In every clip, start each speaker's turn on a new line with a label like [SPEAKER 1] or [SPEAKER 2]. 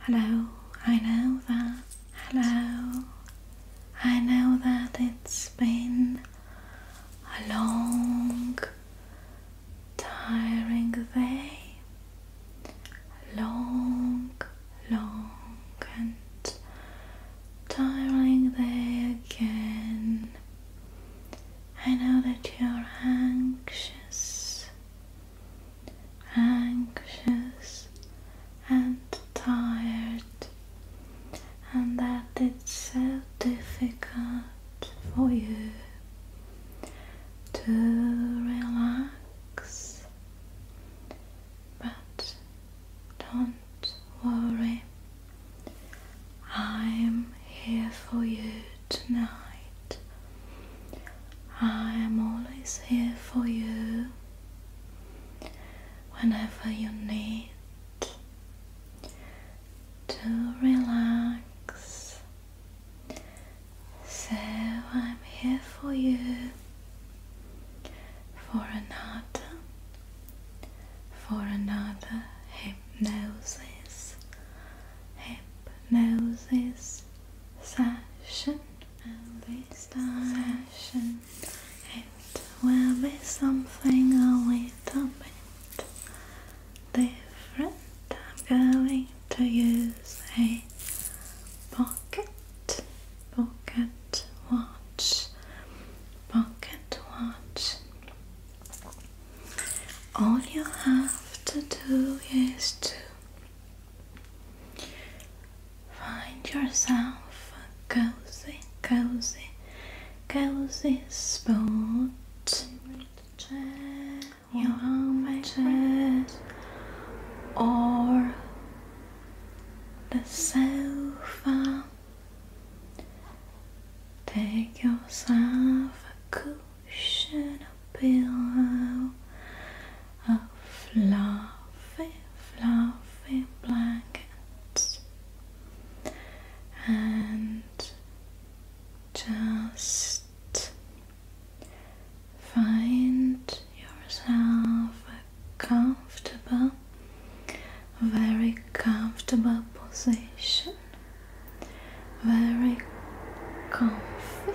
[SPEAKER 1] Hello, I know that. Hello, I know that it's been a long, tiring day. Long, long, and tiring day again. I know that you're anxious, anxious, and tired, and that it's so difficult for you to relax. But don't worry, I'm here for you tonight. I am always here for you whenever you need to relax. So I'm here for you for another, for another hypnosis hypnosis session. And this session, it will be something a little bit different. I'm going to use a pocket, pocket watch, pocket watch. All you have to do is to find yourself a cozy, cozy, cozy spot. Your own chair or the sofa. Take yourself a cup ocean pillow a fluffy, fluffy blanket and just find yourself a comfortable, very comfortable position very comfy,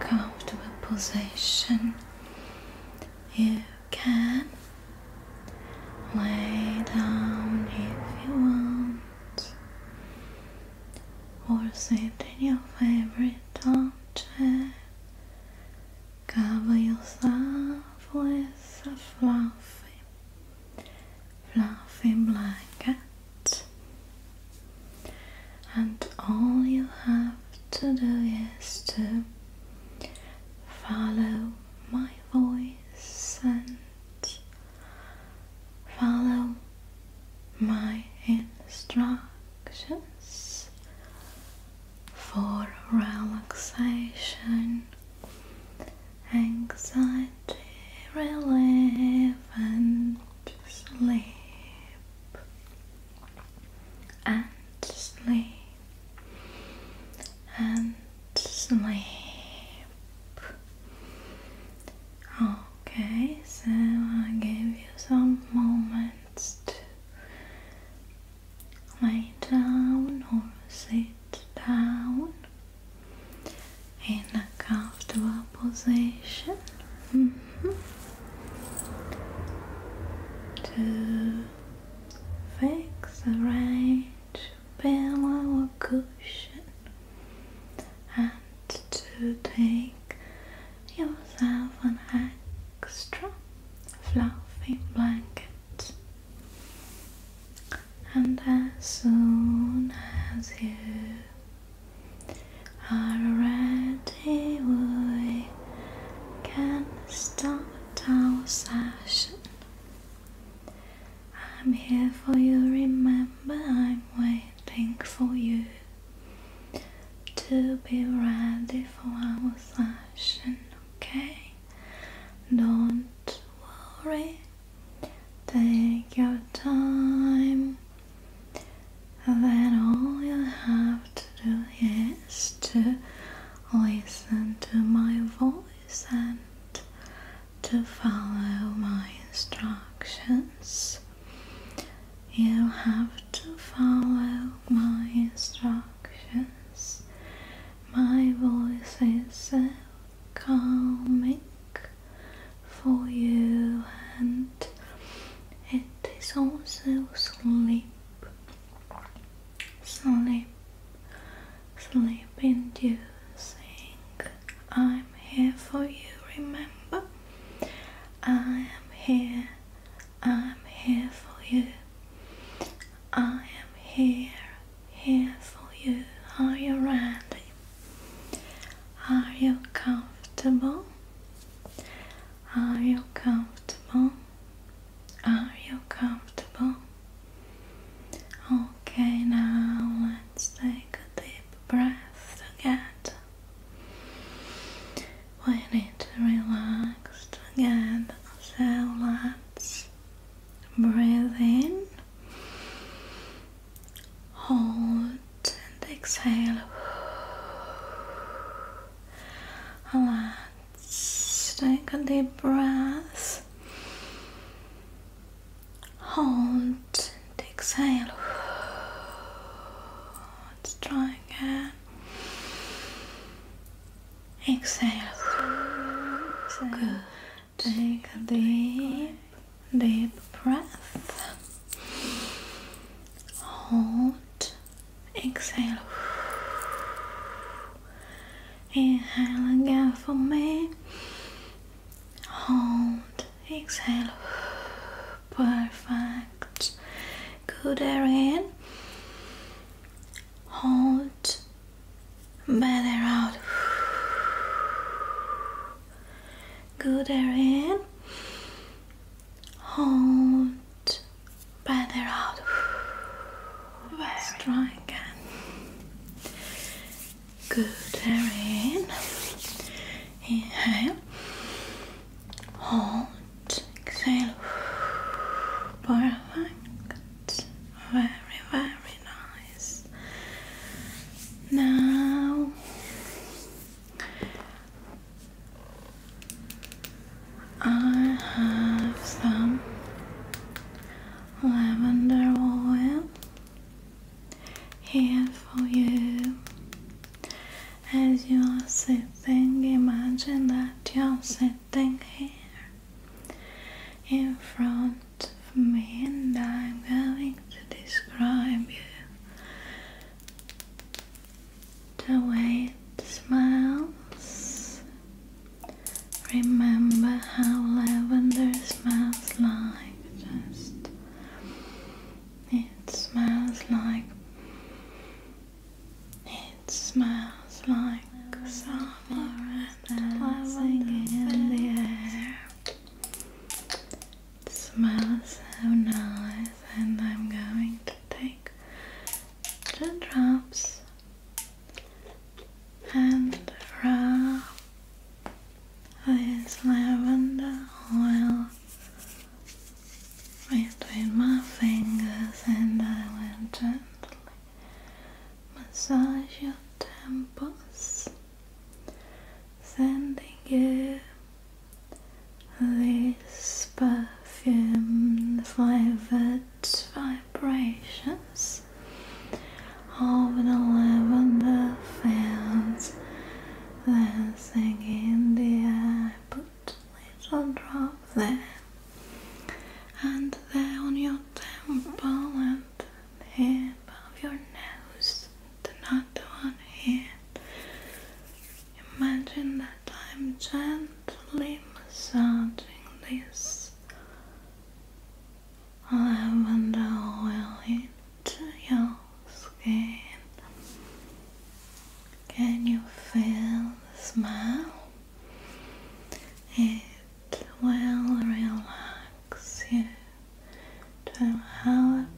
[SPEAKER 1] comfortable position. You can lay down if you want, or sit in your favorite armchair. Cover yourself with a fluffy fluffy blanket, and all you have to do is to follow my voice and follow my instructions for relaxation anxiety relief and sleep and sleep and sleep okay so I give you some moments to lay down or sit down in a comfortable position mm-hmm. to fix the right pillow or cushion and to take yourself an extra fluffy blanket and as soon as you are ready, we can start our session. I'm here for you, remember, I'm waiting for you to be ready for our session, okay? Don't worry Take your time, then all you have to do is to listen to my voice and to follow my instructions. You have to follow my instructions. My voice is so calming for you and it is also sleep sleep sleep inducing I'm here for you remember I am here I'm here for you I am here here for you are you ready are you comfortable? Are you comfortable? Are you comfortable? Okay, now let's take a deep breath again. We need to relax again, so let's breathe in Hold and exhale. Let's take a deep breath. Hold and exhale. Let's try again. Exhale. Exhale. Good. Take a deep, deep breath. Hold. Exhale. Inhale again for me. Hold. Exhale. Perfect. Good air in. Hold. Better out. Good air in. Hold. Better air out. Very strong again. Good in. Inhale. Hold. Exhale. Perfect. Very, very nice. Now, I have some lavender oil here for you. As you are sitting, imagine that you are sitting here in front for me and I'm going to describe you the way it smells remember how lavender smells like just it smells like it smells like summer and lavender in the air it smells so nice, and I'm going to take the drops and rub this lavender oil between my fingers, and I will gently massage your temples sending you these perfumed vivid vibrations of the lavender fields dancing in the air. Put little drop there and there on your temple the here of your nose, and another one here. Imagine that I'm gently massaging this lavender oil into your skin. Can you feel the smell? It will relax you. Don't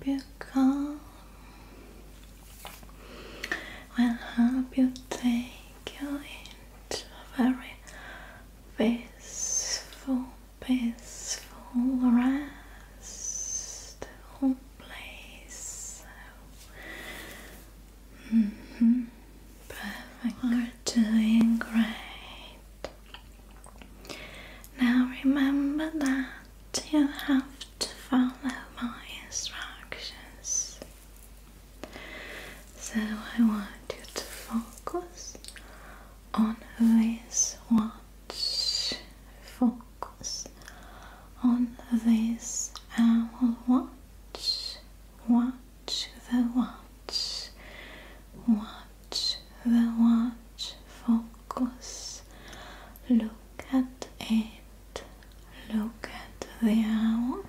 [SPEAKER 1] you come. Well, help you take you into a very peaceful, peaceful restful place. Mm mm-hmm. Perfect. You're doing great. Now remember that you have to follow my instructions. So I want you to focus on this watch. Focus on this owl watch. Watch the watch. Watch the watch focus look at it look at the hour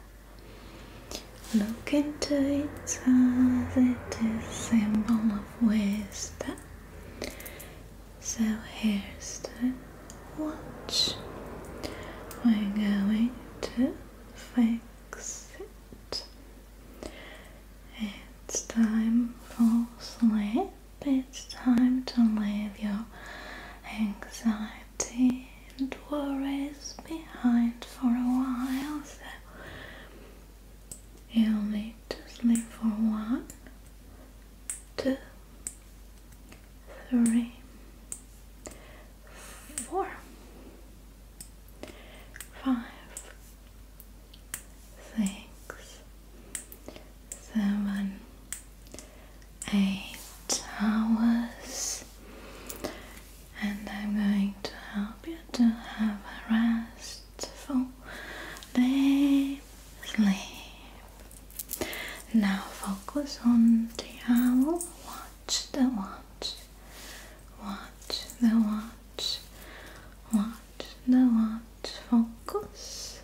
[SPEAKER 1] look into its eyes. it is a symbol of wisdom so here's the watch we're going to fix it it's time for sleep. It's time to leave your anxiety and worries behind for a while. So you'll need to sleep for one, two, three, four five, six, seven, eight hours, and I'm going to help you to have a restful day sleep. Now focus on the owl. Watch the watch. Watch the watch watch, the watch, focus,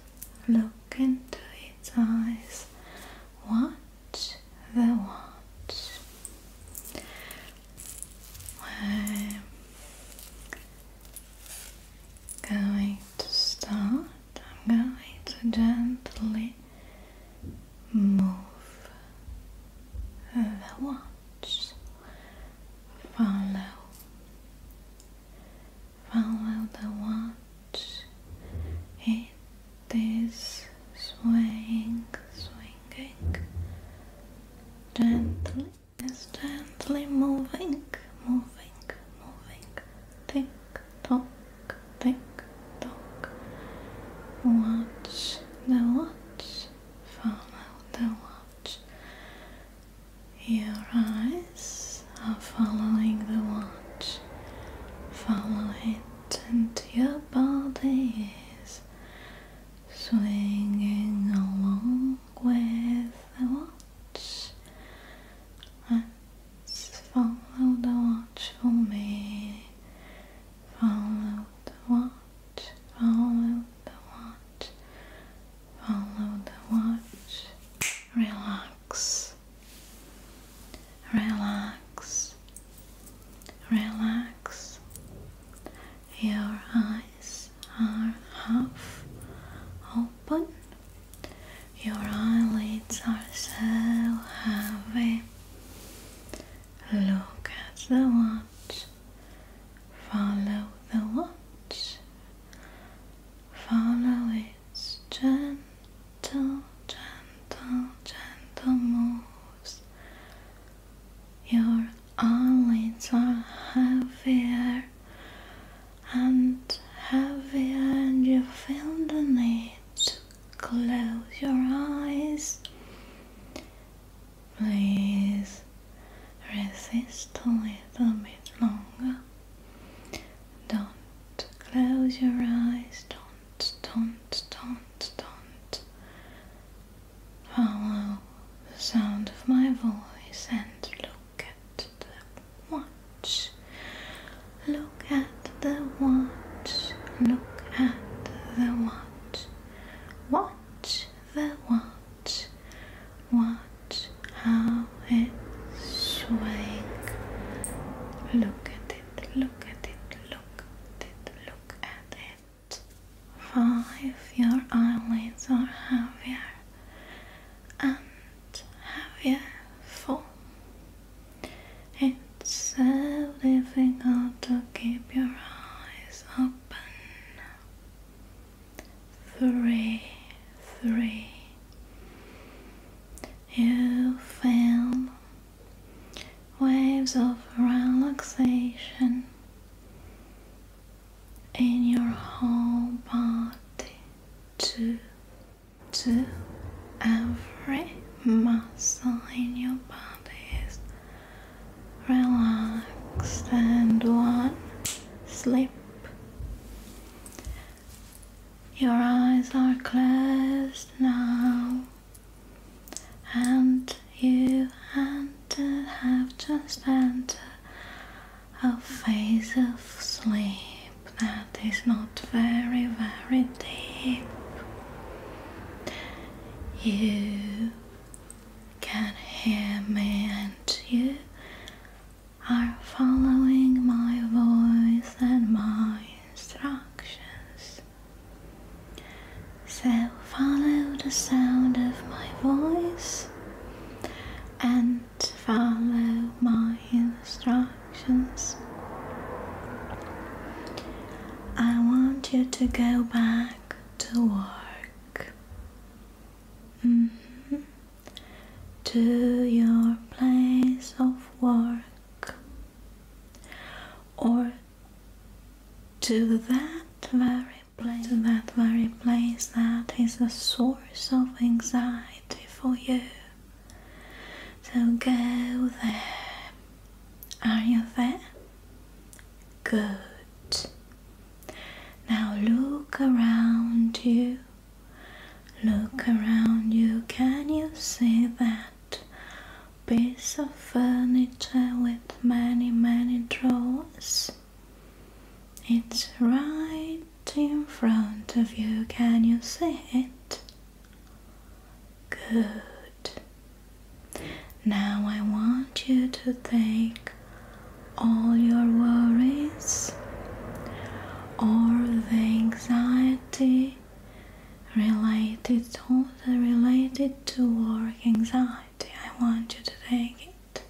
[SPEAKER 1] look into its eyes, watch the watch. We're going to start. I'm going to gently move the watch. Follow, follow the watch. It is swaying, swinging gently, gently moving, moving, moving. Tick tock, tick tock. Watch the watch, follow the watch. Your eyes are following the watch. Follow it, and your body is swinging along with the watch. let follow the watch for me. Follow the watch follow the watch, follow the watch, relax, relax, relax. Your eyes are half open, your eyelids are so heavy. Look at the watch Follow the watch, follow its gentle, gentle, gentle moves. Your eyelids are heavier and heavier, and you feel the need to close your eyes. Please resist a little bit longer. Don't close your eyes. Don't, don't, don't, don't. Follow the sound of my voice and look at the watch. Look at the watch. Look at the watch. Watch the watch watch, how it sways. Look at it, look at it, look at it, look at it. Five, your eyelids are heavier and heavier. Four. It's so difficult to keep your eyes open three, three. You feel waves of relaxation in your whole body, two, two. Every muscle in your body is Relax and one sleep. Your eyes are closed now, and you entered, have just entered a phase of sleep that is not very, very deep. You can hear me and you are following my voice and my instructions. So follow the sound of my voice and follow my instructions. I want you to go back to work. Mm-hmm. to your place of work or to that very place that very place that is a source of anxiety for you so go there are you there Good. Now look around you. Look around you. Can you see that piece of furniture with many, many drawers? It's right in front of you. Can you see it? Good. Now I want you to take all your worries, all the anxiety related, all the related to work anxiety. I want you to take it.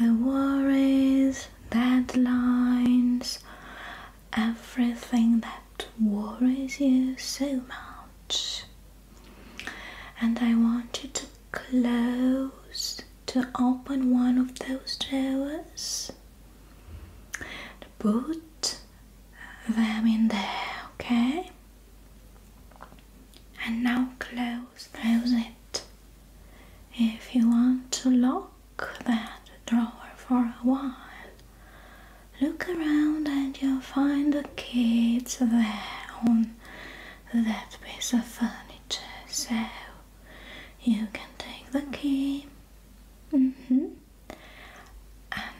[SPEAKER 1] The worries, deadlines, everything that worries you so much and I want you to close to open one of those drawers put them in there okay and now close close it if you want to lock that drawer for a while look around and you'll find kids there on that piece of furniture so you can take the key mm-hmm. and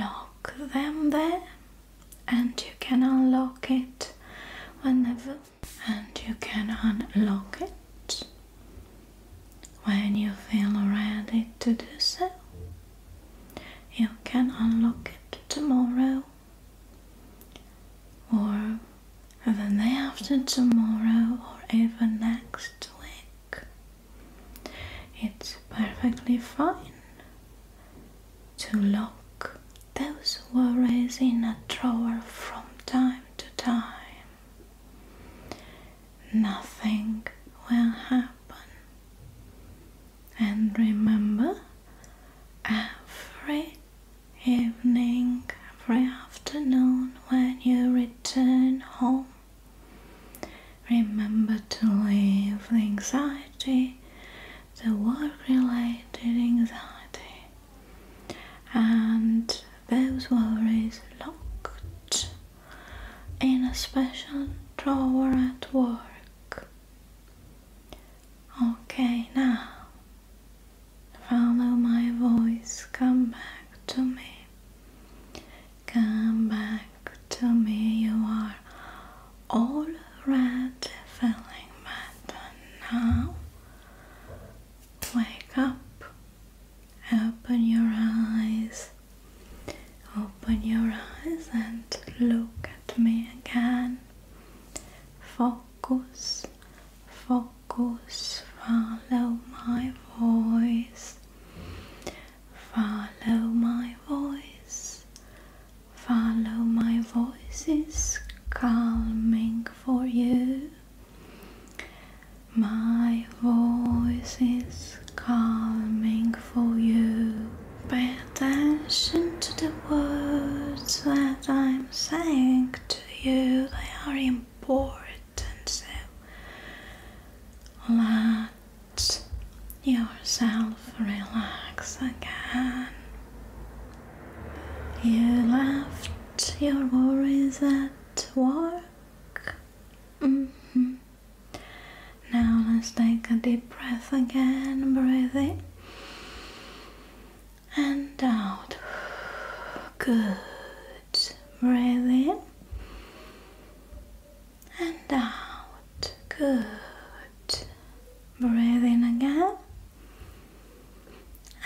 [SPEAKER 1] lock them there and you can unlock it whenever and you can unlock it when you feel ready to do so you can unlock it tomorrow or the day after tomorrow or even next week. It's perfectly fine to lock those worries in a drawer from time to time nothing will happen. And remember, every evening, every afternoon when you return home, remember to leave the anxiety, the work related anxiety, and those worries locked in a special drawer at work. Okay, now follow my voice, come back to me. Come back to me, you are already feeling better now. Wake up, open your eyes, Open your eyes and look at me again. Focus, focus, follow my voice. Follow my voice. Follow my voice is calming for you. My voice is Coming for you. Pay attention to the words that I'm saying to you, they are important. So let yourself relax again. You left your worries at work. Mm-hmm. Now let's take a deep breath again. Breathe in and out. Good. Breathe in and out. Good. Breathe in again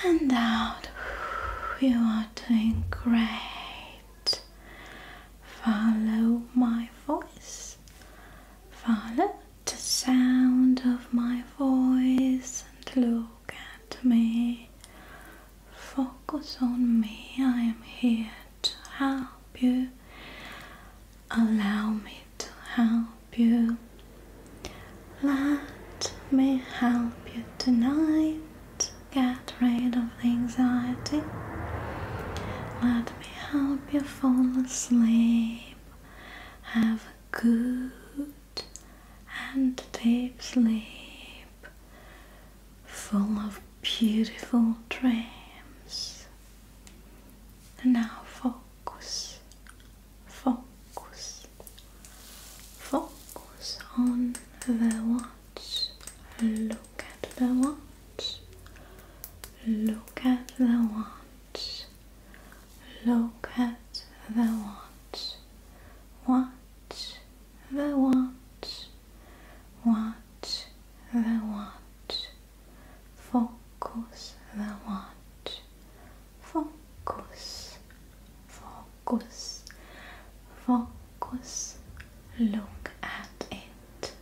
[SPEAKER 1] and out. You are doing great. Follow my voice. Follow the sound of my voice and look at me. Focus on me. I am here to help you. Allow me to help you. Let me help you tonight get rid of the anxiety. Let me help you fall asleep. Have a good and deep sleep, full of beautiful dreams. And now focus, focus, focus on the watch. Look at the watch. Look at the watch. Look at the watch. Watch the watch. Watch the watch. Focus the watch. Focus. Focus. Focus. Cause, look at it.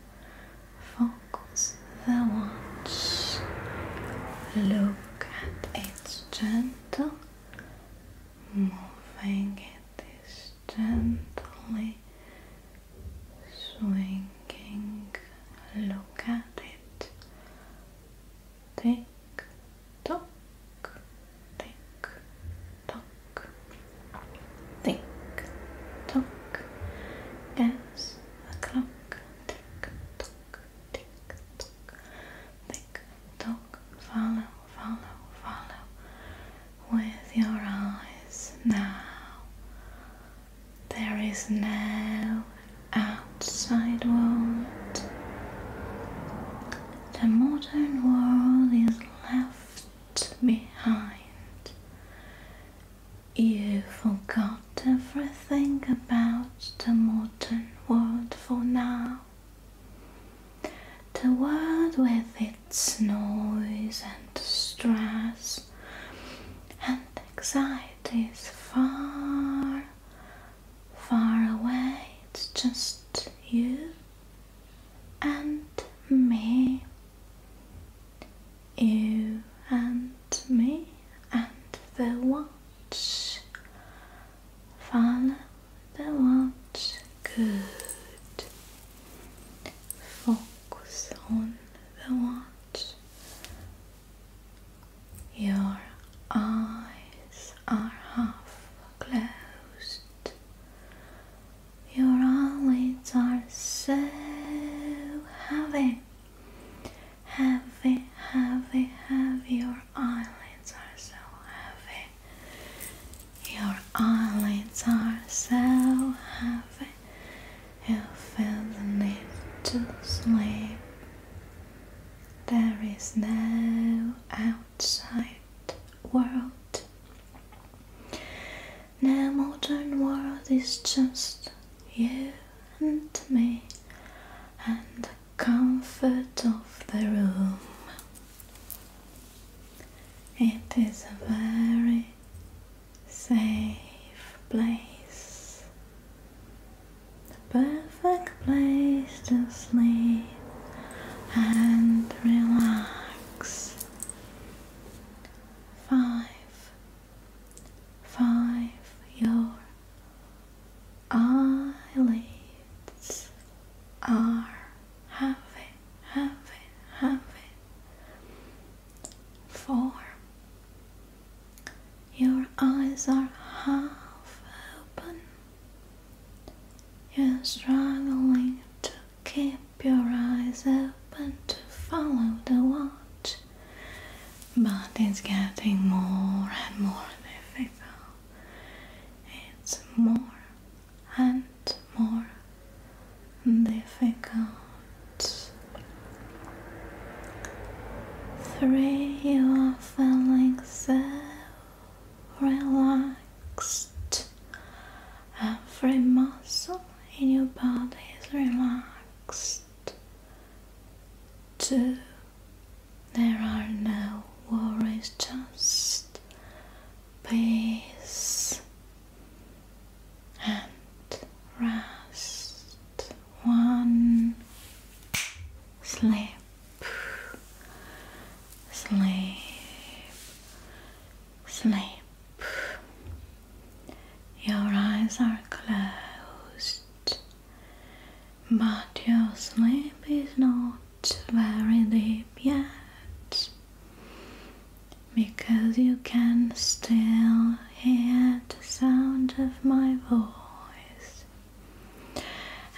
[SPEAKER 1] Focus the watch. Look at its gentle moving. It is gently swinging. Look at it. Tick tock, tick tock, tick tock, as the clock, tick tock, tick tock, tick tock, follow, follow, follow with your eyes now. There is no outside world. The modern world is left behind. You forgot everything about the modern world for now. The world with its noise and stress and anxiety is far, far away. It's just you and me, you and me, and the watch. Follow the watch. Good. Focus on the watch. Your eyes are half closed. Your eyelids are so heavy. Heavy, heavy, heavy. Your eyelids are so heavy. Your eyelids are so heavy. You feel the need to sleep. There is no outside world. The modern world is just you and me and the comfort of the room. It is a very safe place, the perfect place to sleep and relax five, five your eyelids are heavy, heavy, heavy. Four, your eyes are half open. You're struggling to keep Keep your eyes open to follow the watch. But it's getting more and more difficult. It's more and more difficult. Three, you are feeling so relaxed. Every muscle in your body is relaxed. Two, there are no worries, just peace and rest. One, sleep, sleep, sleep. Your eyes are closed, but your sleep is not very deep yet because you can still hear the sound of my voice,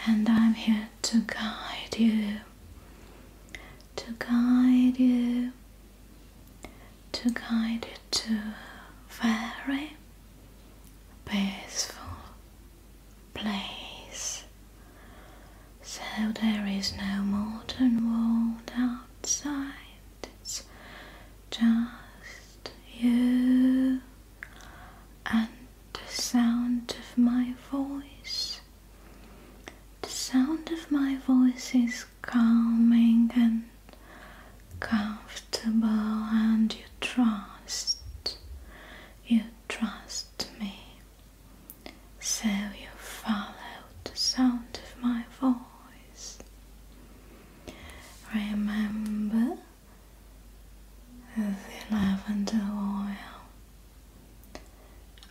[SPEAKER 1] and I'm here to guide you to guide you, to guide you to a very peaceful place. So there is no modern world outside, it's just you and the sound of my voice. The sound of my voice is calming and comfortable, and you trust, you trust me. So you follow the sound of my voice. Remember the lavender oil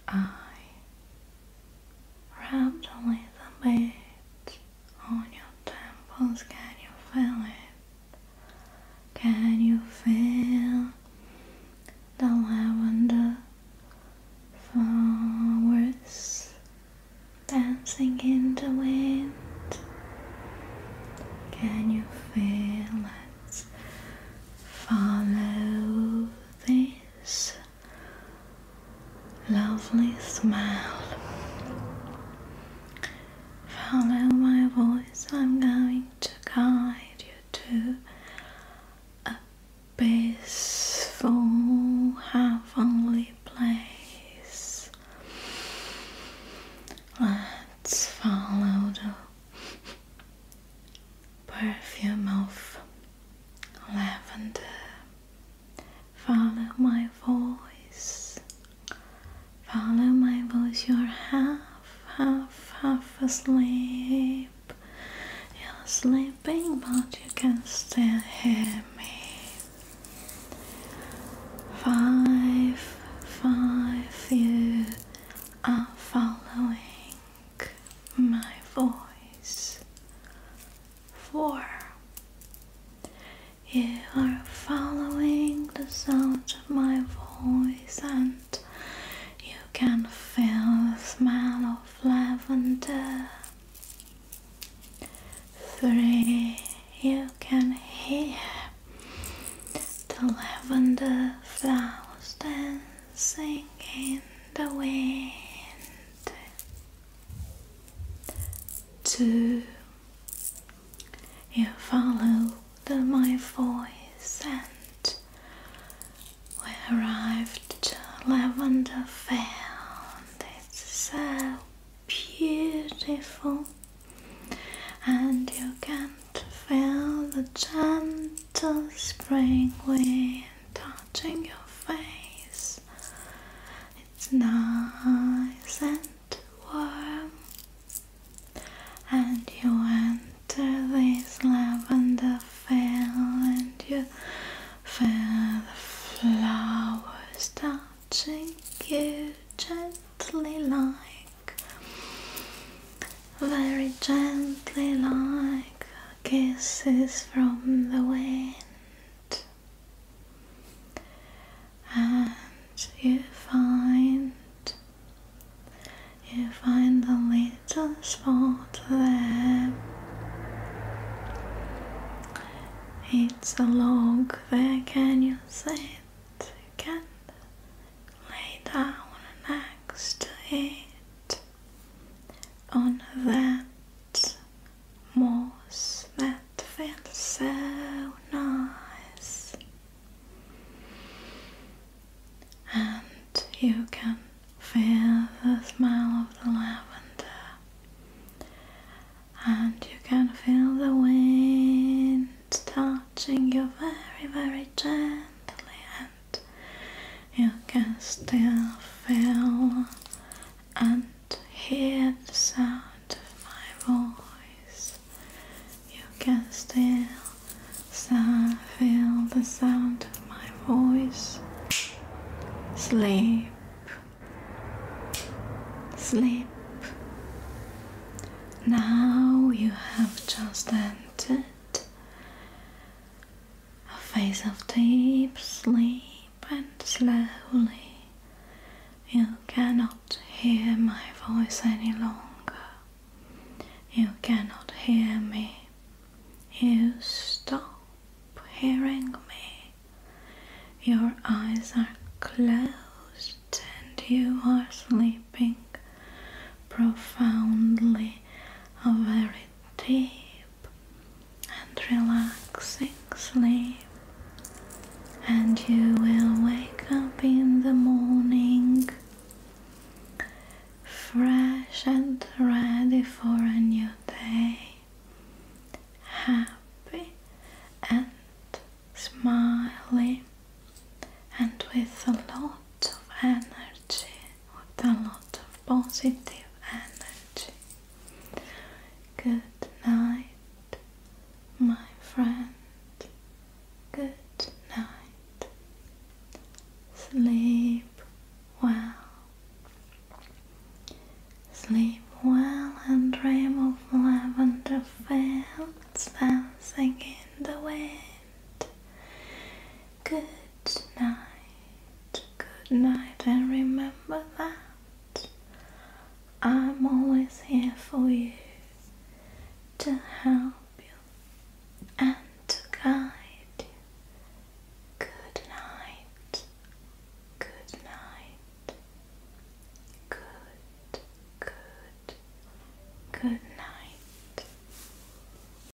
[SPEAKER 1] I rubbed a little bit on your temples. Can you feel it? Can you feel the lavender flowers dancing in the wind? Can you feel it? Follow this lovely smell. Follow my voice, I'm going to guide you to a peaceful, heavenly place. Let's follow the perfume of lavender. Follow my voice. Follow my voice. You're half, half, half asleep. You're sleeping, but you can still hear me. Five, five, you are following my voice, for you are following the sound of my voice, and you can feel the smell of lavender. Three, you can hear the lavender flowers dance sing in the wind. Two, you follow my voice, and we arrived to Lavender Field. It's so beautiful, and you can't feel the charm gentle spring wind touching your face. It's nice and warm, and you enter this lavender field, and you feel the flowers touching you gently, like very gently, like kisses from the wind, and you find you find the little spot there. It's a log there. Can you sit? You can lay down next to it on that moss that feels so nice, and you can feel the smell of the lavender, and you can feel the wind touching you very, very gently you can still feel and hear the sound of my voice. You can still feel the sound of my voice. Sleep, sleep. Now you have just entered a face of deep sleep, and slowly you cannot hear my voice any longer. You cannot hear me. You stop hearing me. Your eyes are closed and you are sleeping profoundly, a very deep and relaxing sleep, and you will wake up in the morning fresh and ready for a new day, happy and smiling, and with a lot of energy with a lot of positive energy. Good night, my friend. Good night. Sleep well. Sleep well and dream of lavender fields dancing in the wind. Good night, good night, and remember that I'm always here for you to help you and to guide you. Good night, good night, good, good, good night.